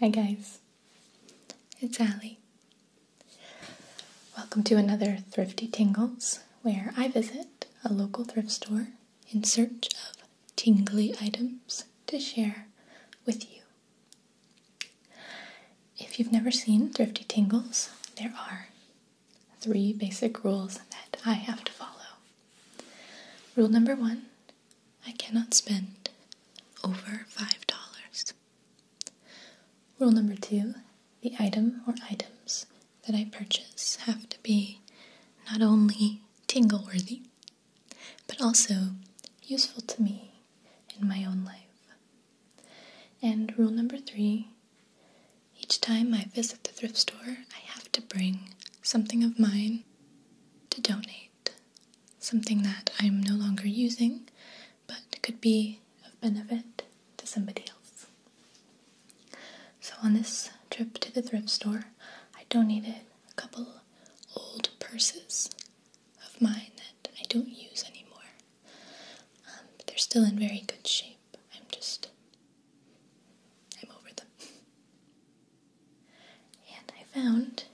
Hi guys, it's Allie. Welcome to another Thrifty Tingles, where I visit a local thrift store in search of tingly items to share with you. If you've never seen Thrifty Tingles, there are three basic rules that I have to follow. Rule number one I cannot spend over $5. Rule number two the item or items that I purchase have to be not only tingle worthy, but also useful to me in my own life. And rule number three each time I visit the thrift store, I have to bring something of mine to donate. Something that I'm no longer using, but could be of benefit to somebody else. So on this trip to the thrift store, I donated a couple old purses of mine that I don't use anymore. Um, they're still in very good shape. I'm just. I'm over them. And I found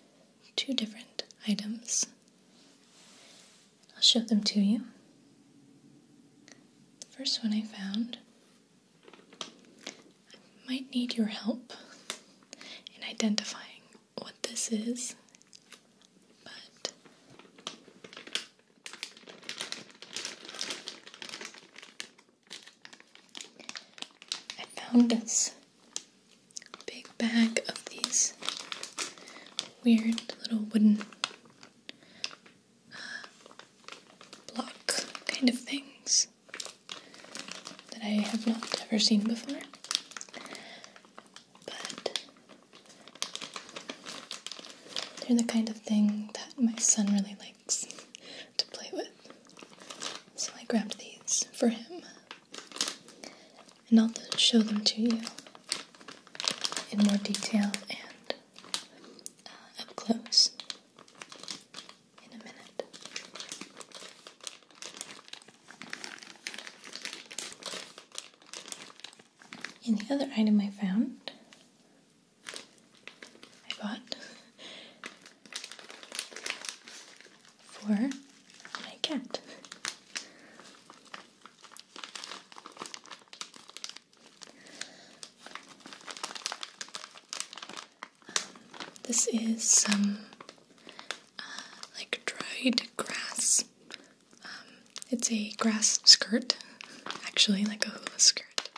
two different items. I'll show them to you. The first one I found. I might need your help in identifying what this is, but I found this big bag of these weird little wooden uh, block kind of things that I have not ever seen before but they're the kind of thing that my son really likes to play with. So I grabbed these for him. And I'll show them to you in more detail and uh, up close in a minute. And the other item I found, I bought for my cat. This is some uh, like dried grass. Um, it's a grass skirt, actually, like a hula skirt.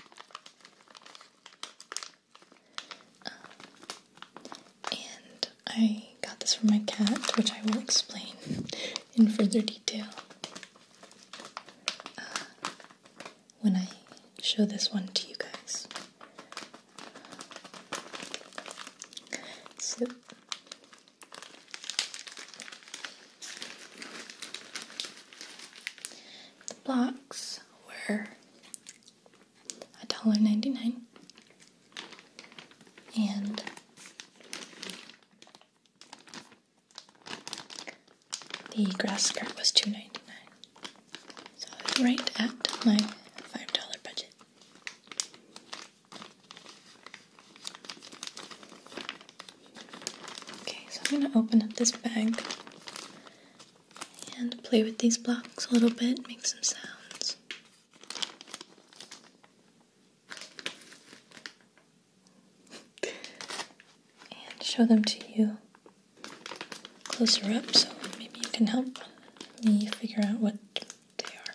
Um, and I got this for my cat, which I will explain in further detail uh, when I show this one to you guys soup. The blocks were a dollar ninety nine and the grass skirt was two ninety nine. So I right at my five dollar budget. Okay, so I'm going to open up this bag and play with these blocks a little bit, make some sounds. and show them to you closer up so maybe you can help me figure out what they are.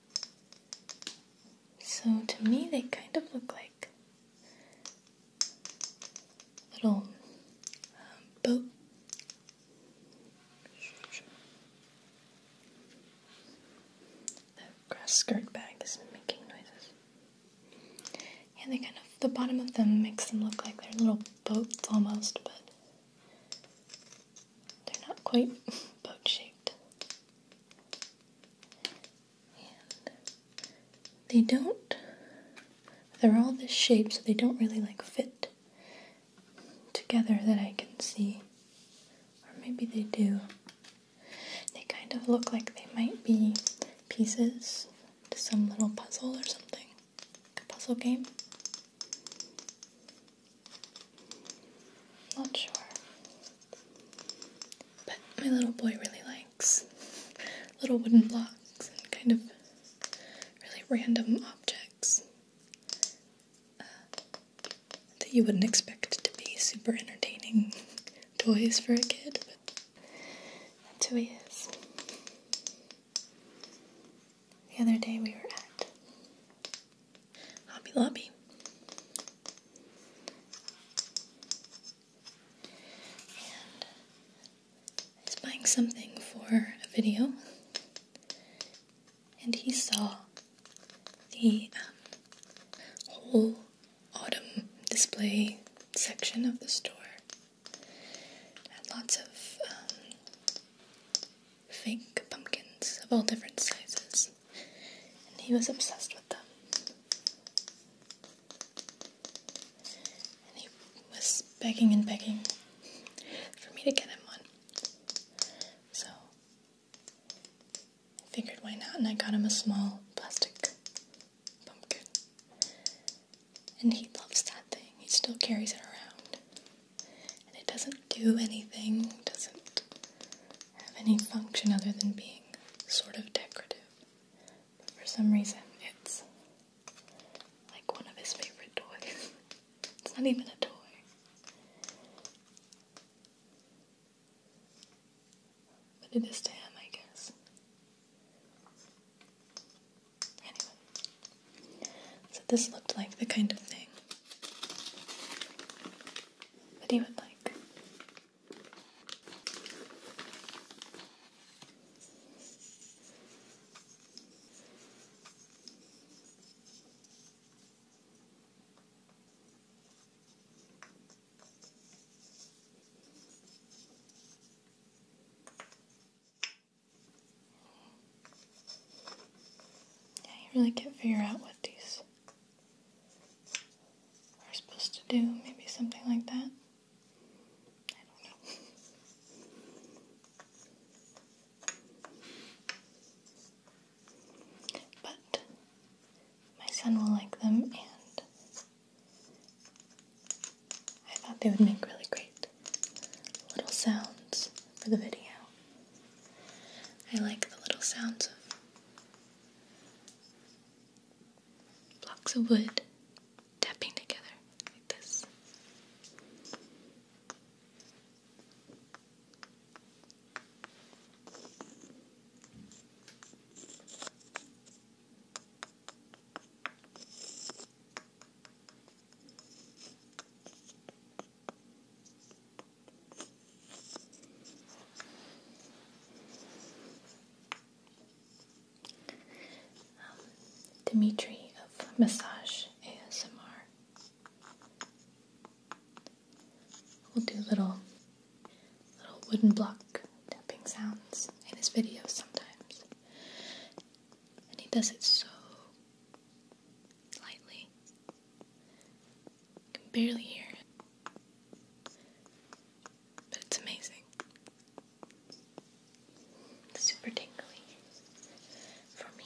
So to me, they kind of look like little um, boat. The grass skirt bag is making noises. Yeah, they kind of the bottom of them makes them look like they're little boats almost, but they're not quite boat shaped they don't, they're all this shape, so they don't really like fit together that I can see. Or maybe they do. They kind of look like they might be pieces to some little puzzle or something, like a puzzle game. Not sure. But my little boy really likes little wooden blocks and kind of really random objects uh, that you wouldn't expect to be super entertaining toys for a kid. But that's who he is. The other day we were at Hobby Lobby. He's buying something for a video, and he saw the um, whole autumn display section of the store. had lots of um, fake pumpkins of all different sizes and he was obsessed with them. And he was begging and begging for me to get him one. So I figured why not, and I got him a small plastic pumpkin. And he loves that thing, he still carries it around. And it doesn't do anything, doesn't have any function other than being sort of decorative. for some reason, it's like one of his favorite toys. it's not even a toy. But it is to him, I guess. Anyway. So this looked like the kind of thing that he would like like. you really can't figure out what these we are supposed to do. Maybe something like that. I don't know. But my son will like them, and I thought they would make really great little sounds for the video. I like the little sounds of blocks of wood tapping together like this. Um, Dimitri of Massage ASMR. will do little little wooden block tapping sounds in his videos sometimes. And he does it so lightly can barely hear it. But it's amazing. super tingling for me.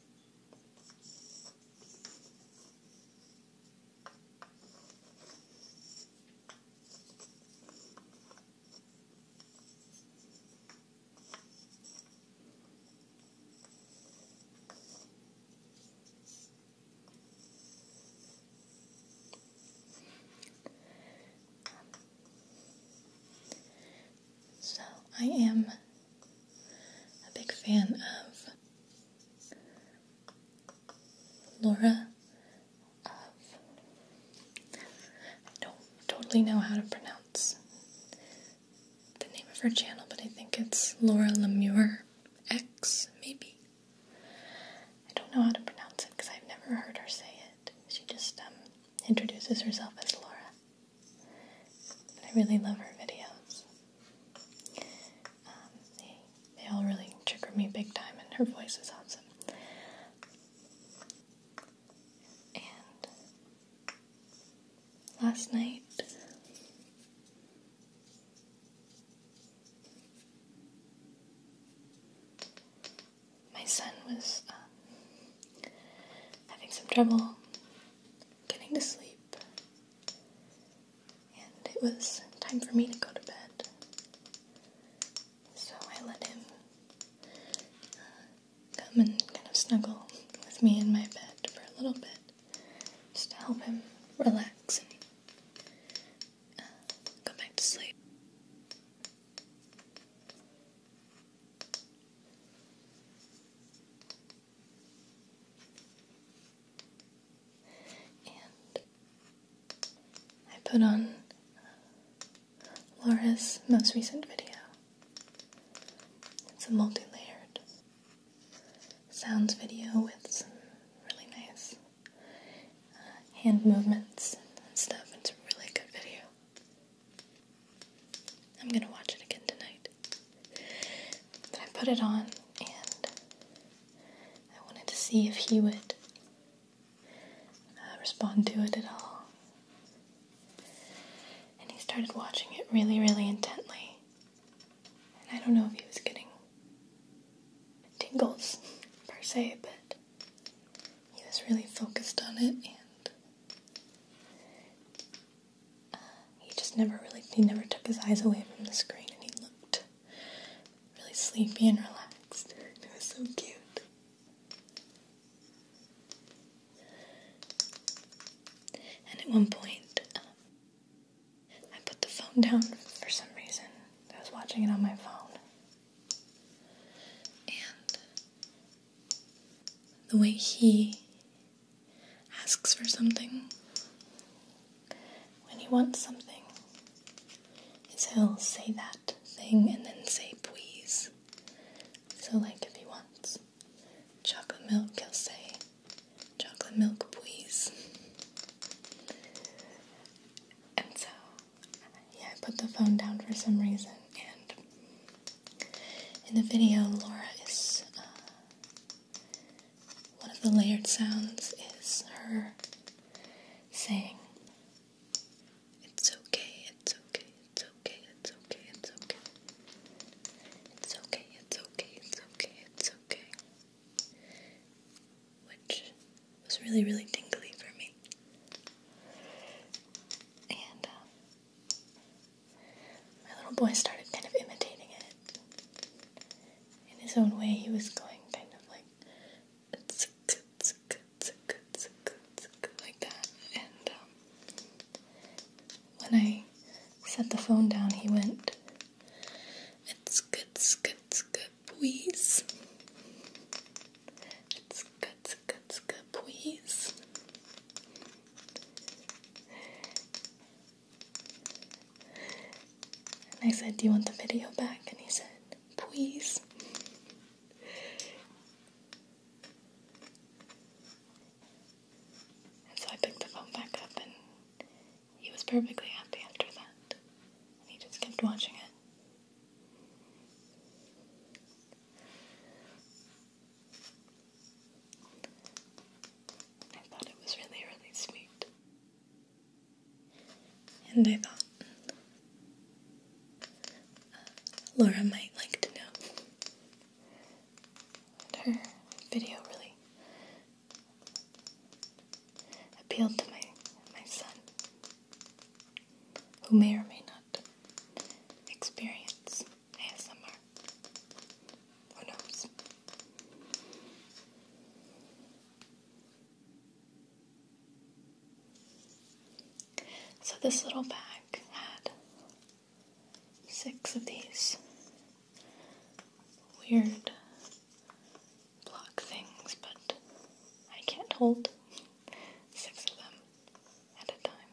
So I am a big fan of Laura I don't totally know how to pronounce the name of her channel, but I think it's Laura Lemure X, maybe. I don't know how to pronounce it because I've never heard her say it. She just um, introduces herself as Laura. I really love her videos. Um, they, they all really trigger me big time, and her voice is awesome. And last night, my son was um, having some trouble getting to sleep, and it was time for me to go to bed. So I let him uh, come and kind of snuggle with me in my bed for a little bit, just to help him relax and uh, go back to sleep. And I put on Laura's most recent video. It's a multi layered sounds video with some really nice uh, hand movements and stuff. It's a really good video. I'm gonna watch it again tonight. But I put it on and I wanted to see if he would uh, respond to it at all. And he started watching it really, really intently. And I don't know if he was getting tingles per se, but he was really focused on it and he just never really he never took his eyes away from the screen and he looked really sleepy and relaxed. It was so cute. And at one point, um, I put the phone down for some reason. I was watching it on my phone. And the way he asks for something. When he wants something, is he'll say that thing and then say please. So, like if he wants chocolate milk, he'll say chocolate milk, please. And so, yeah, I put the phone down for some reason and in the video, Laura is. Uh, one of the layered sounds is her saying, It's okay, it's okay, it's okay, it's okay, it's okay. It's okay, it's okay, it's okay, it's okay. Which was really, really tingly for me. And uh, my little boy started kind of imitating it. In his own way, he was going kind of like like that. And um, when I set the phone down, he went, It's good, it's good, it's good, please. It's good, it's good, it's good, please. And I said, Do you want the video back? And he said, Please. And so I picked the phone back up, and he was perfectly happy after that. And he just kept watching it. I thought it was really, really sweet. And I thought uh, Laura might like to know her video really appealed to my my son, who may or may not experience ASMR. Who knows? So this little bag had six of these weird block things, but I can't hold six of them at a time.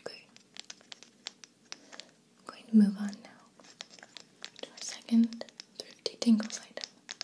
Okay. I'm going to move on now to our second thrifty tingles site.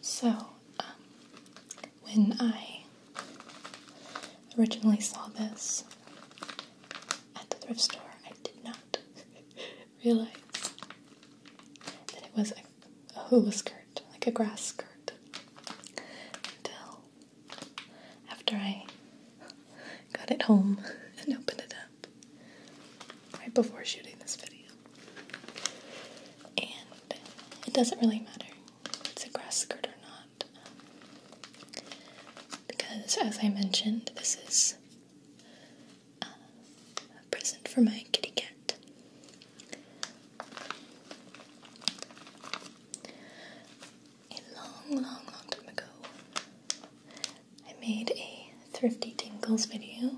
So, um, when I originally saw this at the thrift store, I did not realize that it was a, a hula skirt, like a grass skirt, until after I got it home and opened it up right before shooting this video. And it doesn't really matter it's a grass skirt or not, because as I mentioned, this is uh, a present for my kitty cat a long, long, long time ago, I made a Thrifty tinkles video.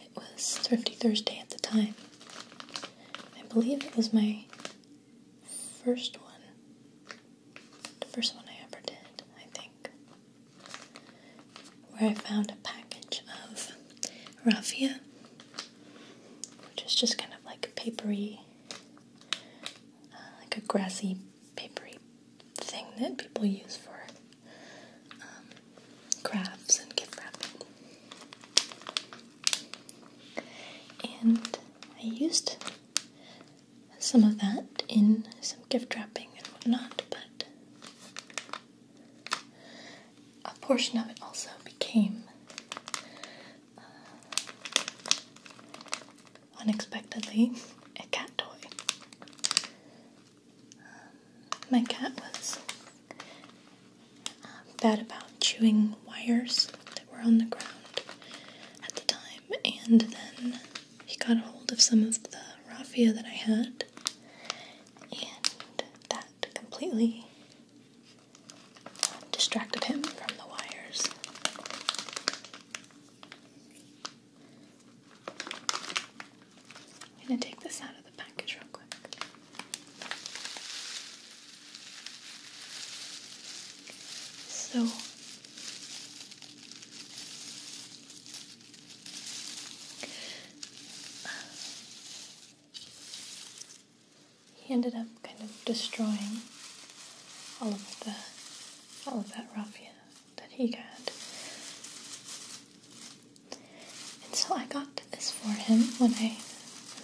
It was Thrifty Thursday at the time. I believe it was my first one. The first one I ever did, I think. Where I found a package of raffia, which is just kind of like papery like a grassy, papery thing that people use for um, crafts and gift wrapping. And I used some of that in some gift wrapping and whatnot, but a portion of it also became unexpectedly a cat toy. Um, my cat was um, bad about chewing wires that were on the ground at the time, and then he got a hold of some of the raffia that I had, and that completely distracted him from the wires. going to take this out of the package real quick. So, he ended up kind of destroying all of the all of that raffia that he got. And so I got this for him when I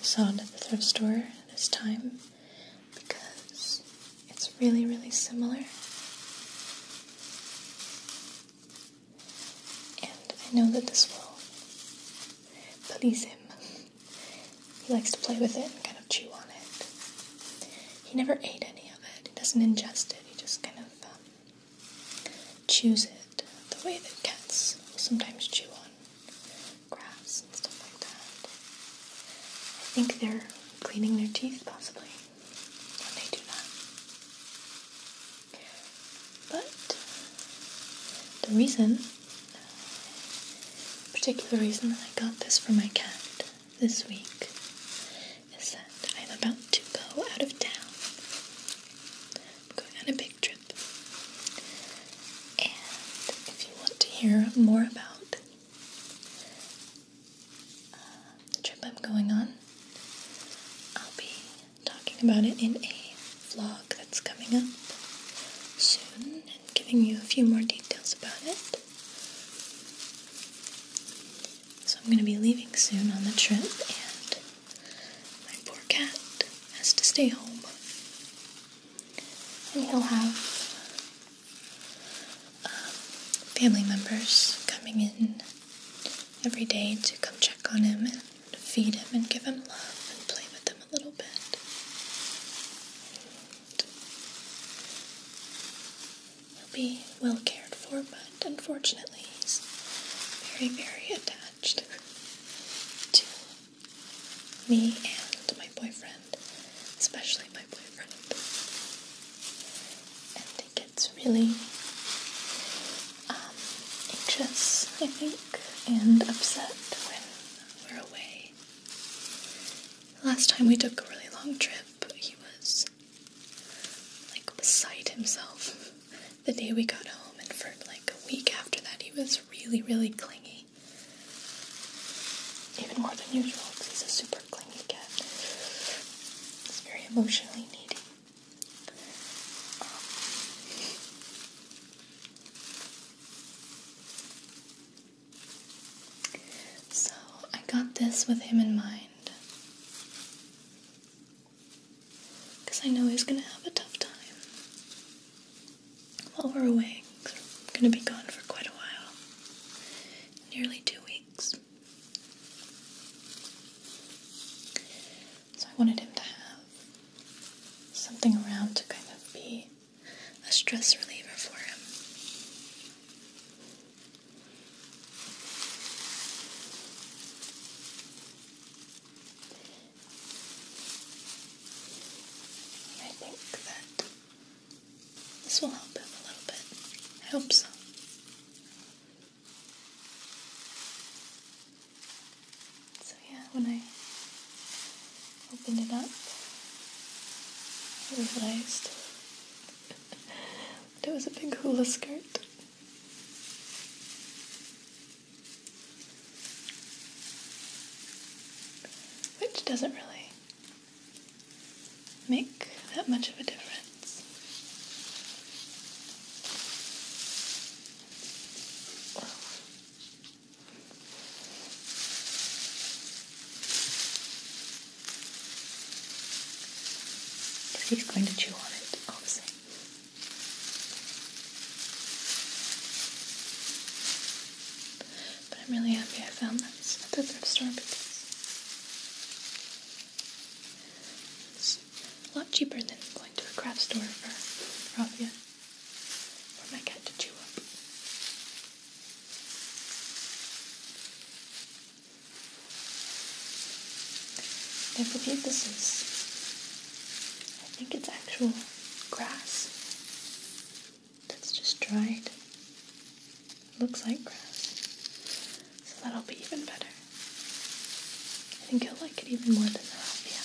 saw it at the thrift store this time because it's really, really similar. And I know that this will please him. He likes to play with it and kind of chew on it. He never ate any of it. He doesn't ingest it. He just kind of um, chews it the way that cats will sometimes chew on grass and stuff like that. I think they're cleaning their teeth possibly when they do that. But the reason particular reason that I got this for my cat this week is that I'm about to go out of town. I'm going on a big trip. And if you want to hear more about uh, the trip I'm going on, I'll be talking about it in a vlog that's coming up soon and giving you a few more details about it. So I'm going to be leaving soon on the trip, and my poor cat has to stay home. And he'll have um, family members coming in every day to come check on him and feed him and give him love and play with him a little bit. He'll be well cared for, but unfortunately, he's very, very attached to me and my boyfriend, especially my boyfriend. And he gets really um, anxious, I think, and upset when we're away. Last time we took a really long trip, he was like beside himself. The day we got home, and for like a week after that, he was really, really clingy. Even more than usual, because he's a super clingy cat. He's very emotionally needy. Um, so I got this with him in mind. Because I know he's going to have a tough time while we're away. We're going to be gone for quite a while. Nearly two weeks. So I wanted him to have something around to kind of be a stress reliever for him. I think that this will help him a little bit. I So, yeah, when I opened it up, I realized there was a big hula skirt. Which doesn't really make that much of a difference he's going to chew on it, obviously. But I'm really happy I found this at the thrift store it's a lot cheaper than going to a craft store for raffia for my cat to chew up. Don't forget this is, I think it's actual grass that's just dried. looks like grass, so that'll be even better. I think he'll like it even more than that, yeah.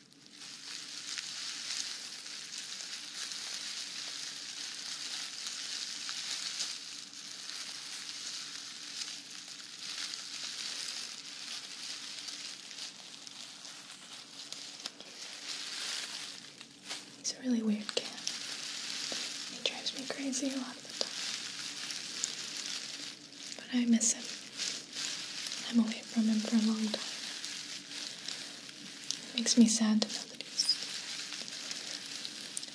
He's a really weird cat. He drives me crazy a lot of the time. But I miss him. I'm away from him for a long time. It makes me sad to know that he's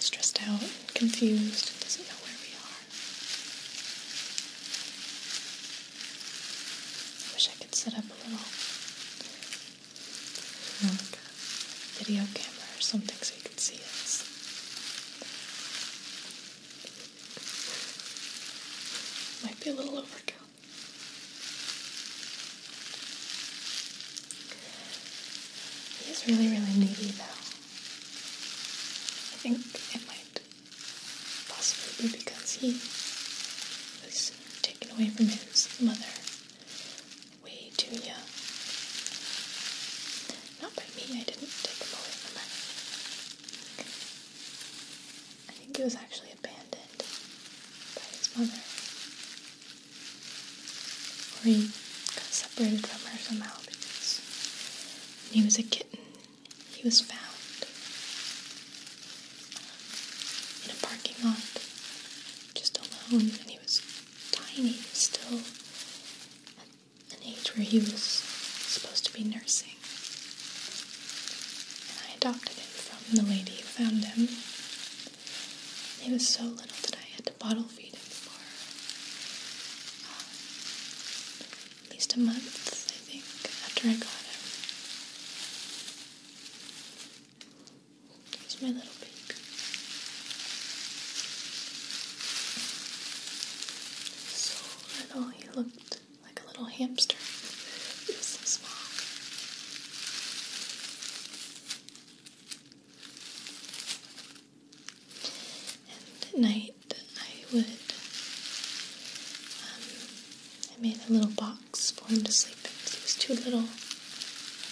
stressed out and confused doesn't know where we are. I wish I could set up a little video camera or something so you could see us. Might be a little overkill. He's really, really needy though. I think it might possibly be because he was taken away from his mother way too young. Not by me, I didn't take him away from her. I think it was actually abandoned by his mother. Or he got separated from her somehow because he was a kitten, he was found um, in a parking lot, just alone, and he was tiny, still at an age where he was supposed to be nursing. And I adopted him from the lady who found him. He was so little that I had to bottle feed him for uh, at least a month, I think, after I got him. He's my little pig. So little he looked like a little hamster. It was so small. And at night, I would. Um, I made a little box for him to sleep in because he was too little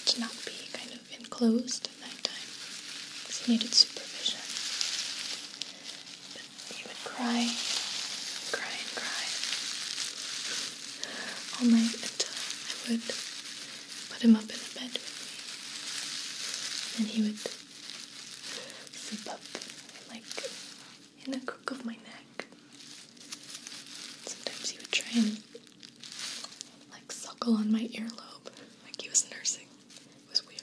to not be kind of enclosed at night time because he needed supervision. He would cry, cry and cry all night until I would put him up in the bed with me. And he would slip up like in the crook of my neck. Sometimes he would try and like suckle on my earlobe like he was nursing. It was weird.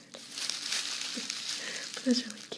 but it was really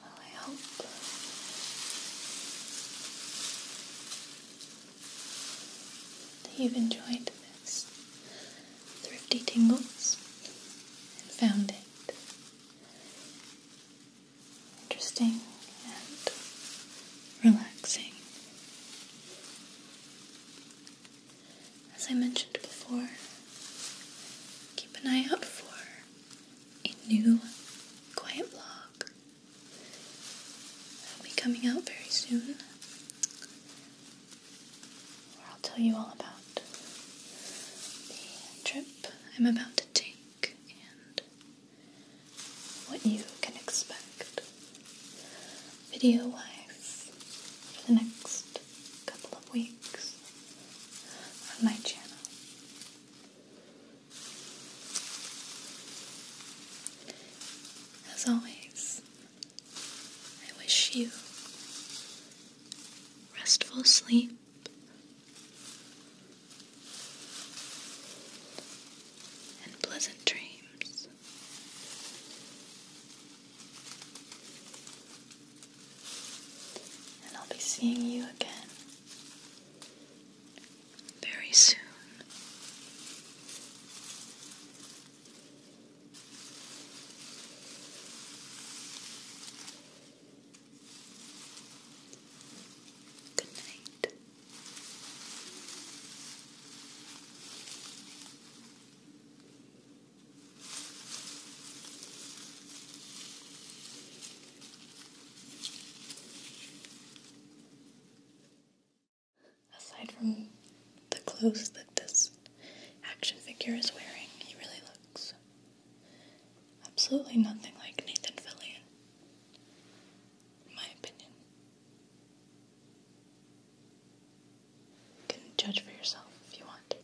well, I hope you've enjoyed this thrifty tingles and found it interesting and relaxing. As I mentioned before, keep an eye out for a new quiet vlog that will be coming out very soon where I'll tell you all about the trip I'm about to take and what you can expect video wise for the next couple of weeks on my channel. As always, I wish you restful sleep. And pleasant dreams. And I'll be seeing you again very soon. Good night. Aside from the clothes that this action figure is wearing, he really looks absolutely nothing like Nathan Fillion, in my opinion. You can judge for yourself if you want.